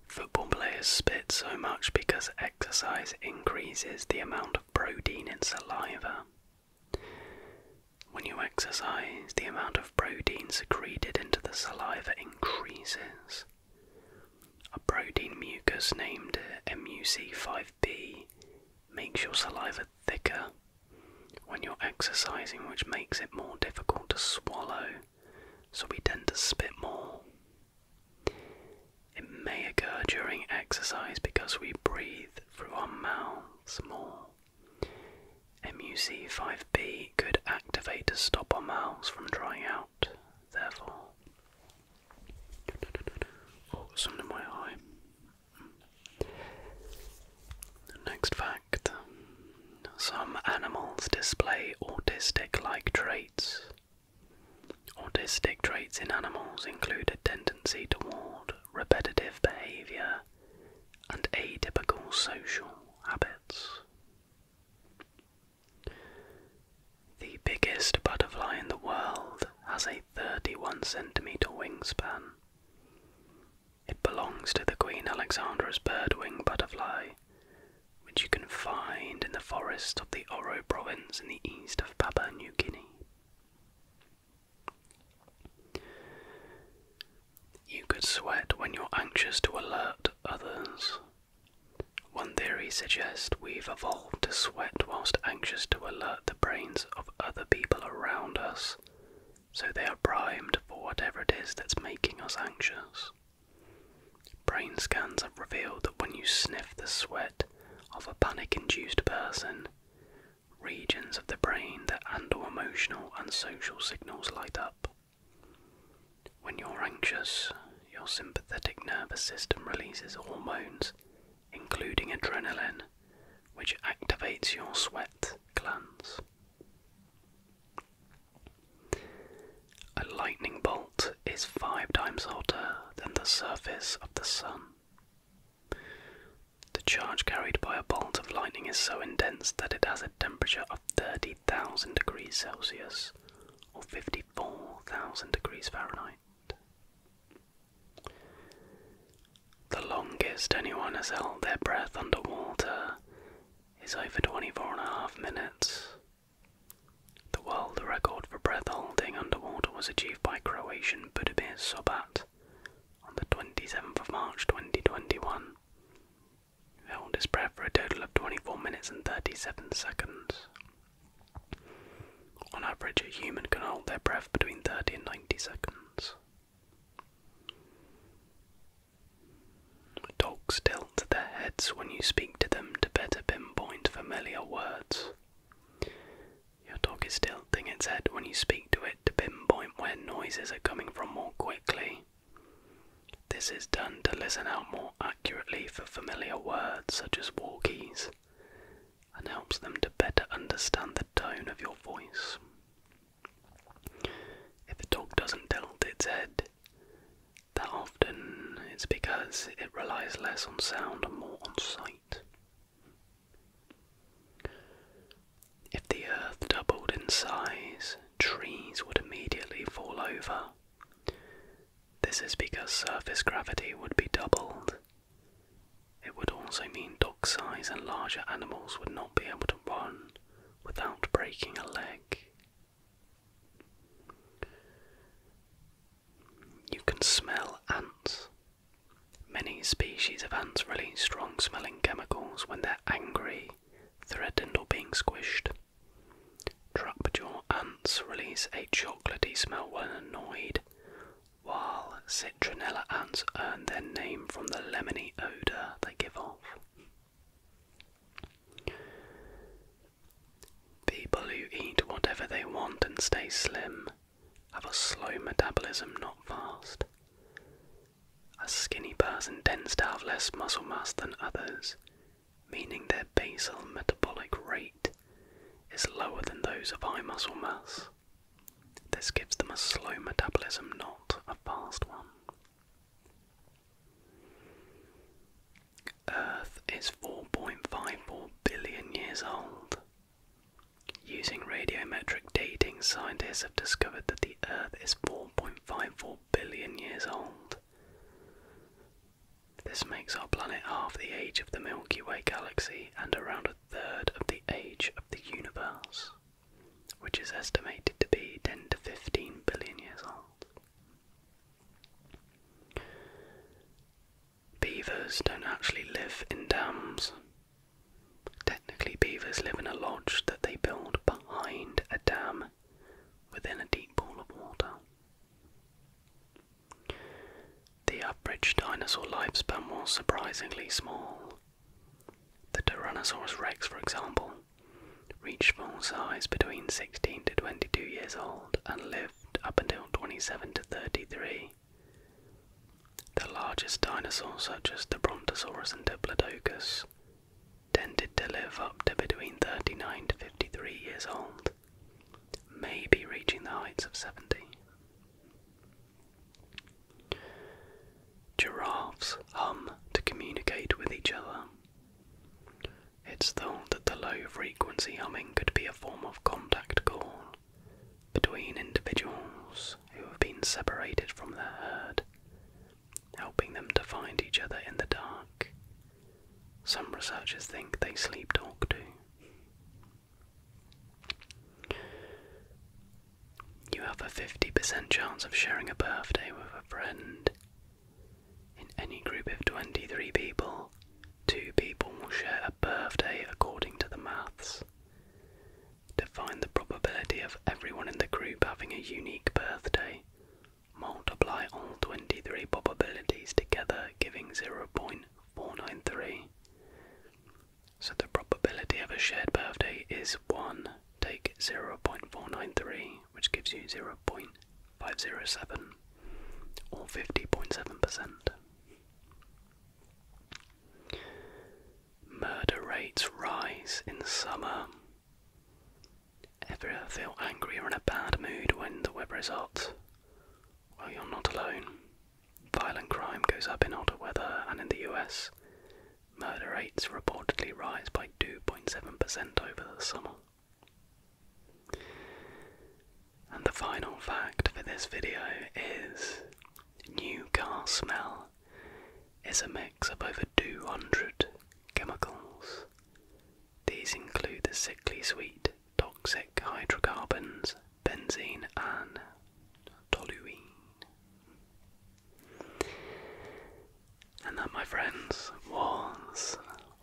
Football players spit so much because exercise increases the amount of protein in saliva. When you exercise, the amount of protein secreted into the saliva increases. A protein mucus named MUC5B makes your saliva thicker when you're exercising, which makes it more difficult to swallow, so we tend to spit more. It may occur during exercise because we breathe through our mouths more. MUC5B could activate to stop our mouths from drying out, therefore. Oh, in my eye. Next fact some animals display autistic like traits. Autistic traits in animals include a tendency toward repetitive behavior and atypical social habits. The biggest butterfly in the world has a 31 centimeter wingspan. It belongs to the Queen Alexandra's birdwing butterfly, which you can find in the forests of the Oro province in the east of Papua New Guinea. You could sweat when you're anxious to alert others. One theory suggests we've evolved to sweat whilst anxious to alert the brains of other people around us, so they are primed for whatever it is that's making us anxious. Brain scans have revealed that when you sniff the sweat of a panic induced person, regions of the brain that handle emotional and social signals light up. When you're anxious, your sympathetic nervous system releases hormones, including adrenaline, which activates your sweat glands. A lightning bolt is five times hotter than the surface of the sun. The charge carried by a bolt of lightning is so intense that it has a temperature of 30,000 degrees Celsius or 54,000 degrees Fahrenheit. The longest anyone has held their breath underwater is over 24 and a half minutes. The world record for breath holding underwater was achieved by Croatian Budimir Sobat on the 27th of March 2021 he held his breath for a total of 24 minutes and 37 seconds. On average, a human can hold their breath between 30 and 90 seconds. Dogs tilt their heads when you speak to them to better pinpoint familiar words. Your dog is tilting its head when you speak to it to pinpoint where noises are coming from more quickly. This is done to listen out more accurately for familiar words such as walkies and helps them to better understand the tone of your voice. If a dog doesn't tilt its head, that often it's because it relies less on sound and more on sight. If the earth doubled in size, trees would immediately fall over. This is because surface gravity would be doubled. It would also mean dog size and larger animals would not be able to run without breaking a leg. You can smell ants. Many species of ants release strong smelling chemicals when they're angry threatened or being squished. Trapdoor ants release a chocolatey smell when annoyed, while citronella ants earn their name from the lemony odour they give off. People who eat whatever they want and stay slim have a slow metabolism, not fast. A skinny person tends to have less muscle mass than others, meaning their basal metabolic rate is lower than those of high muscle mass. This gives them a slow metabolism, not a fast one. Earth is 4.54 billion years old. Using radiometric dating, scientists have discovered that the Earth is 4 4.54 billion years old. This makes our planet half the age of the Milky Way galaxy and around a third of the age of the universe, which is estimated to be 10 to 15 billion years old. Beavers don't actually live in dams, Technically, beavers live in a lodge that they build behind a dam within a deep pool of water. The average dinosaur lifespan was surprisingly small. The Tyrannosaurus rex, for example, reached full size between 16 to 22 years old and lived up until 27 to 33. The largest dinosaurs, such as the Brontosaurus and Diplodocus, tended to live up to between 39 to 53 years old, maybe reaching the heights of 70. Giraffes hum to communicate with each other. It's thought that the low frequency humming could be a form of contact call between individuals who have been separated from their herd helping them to find each other in the dark. Some researchers think they sleep talk too. You have a 50% chance of sharing a birthday with a friend. In any group of 23 people, two people will share a birthday according to the maths. To find the probability of everyone in the group having a unique birthday, multiply all 23 probabilities together, giving 0.493. So the probability of a shared birthday is 1. Take 0.493, which gives you 0.507, or 50.7%. Murder rates rise in summer. Ever feel angry or in a bad mood when the weather is hot? Well, you're not alone. Violent crime goes up in hotter weather, and in the US, murder rates reportedly rise by 2.7% over the summer. And the final fact for this video is new car smell is a mix. Up over 200 chemicals. These include the sickly sweet, toxic hydrocarbons, benzene, and toluene. And that, my friends, was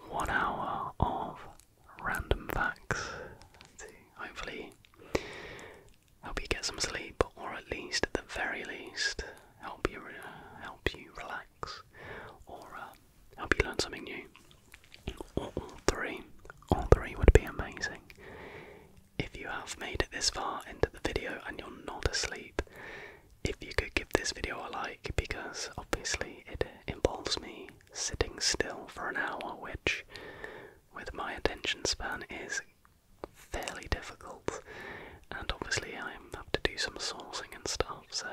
one hour of random facts hopefully Help you get some sleep, or at least, at the very least, help you uh, help you relax, or uh, help you learn something new. all three, all three would be amazing. If you have made it this far into the video and you're not asleep, if you could give this video a like, because obviously it involves me sitting still for an hour, which, with my attention span, is fairly difficult, and obviously I have to do some sourcing and stuff. So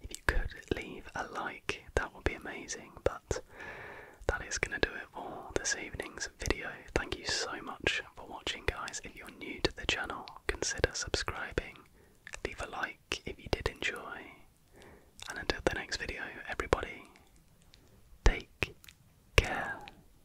if you could leave a like, that would be amazing. But that is going to do it for this evening's video. Thank you so much for watching, guys. If you're new to the channel, consider subscribing. Leave a like if you did enjoy. And until the next video, everybody, take care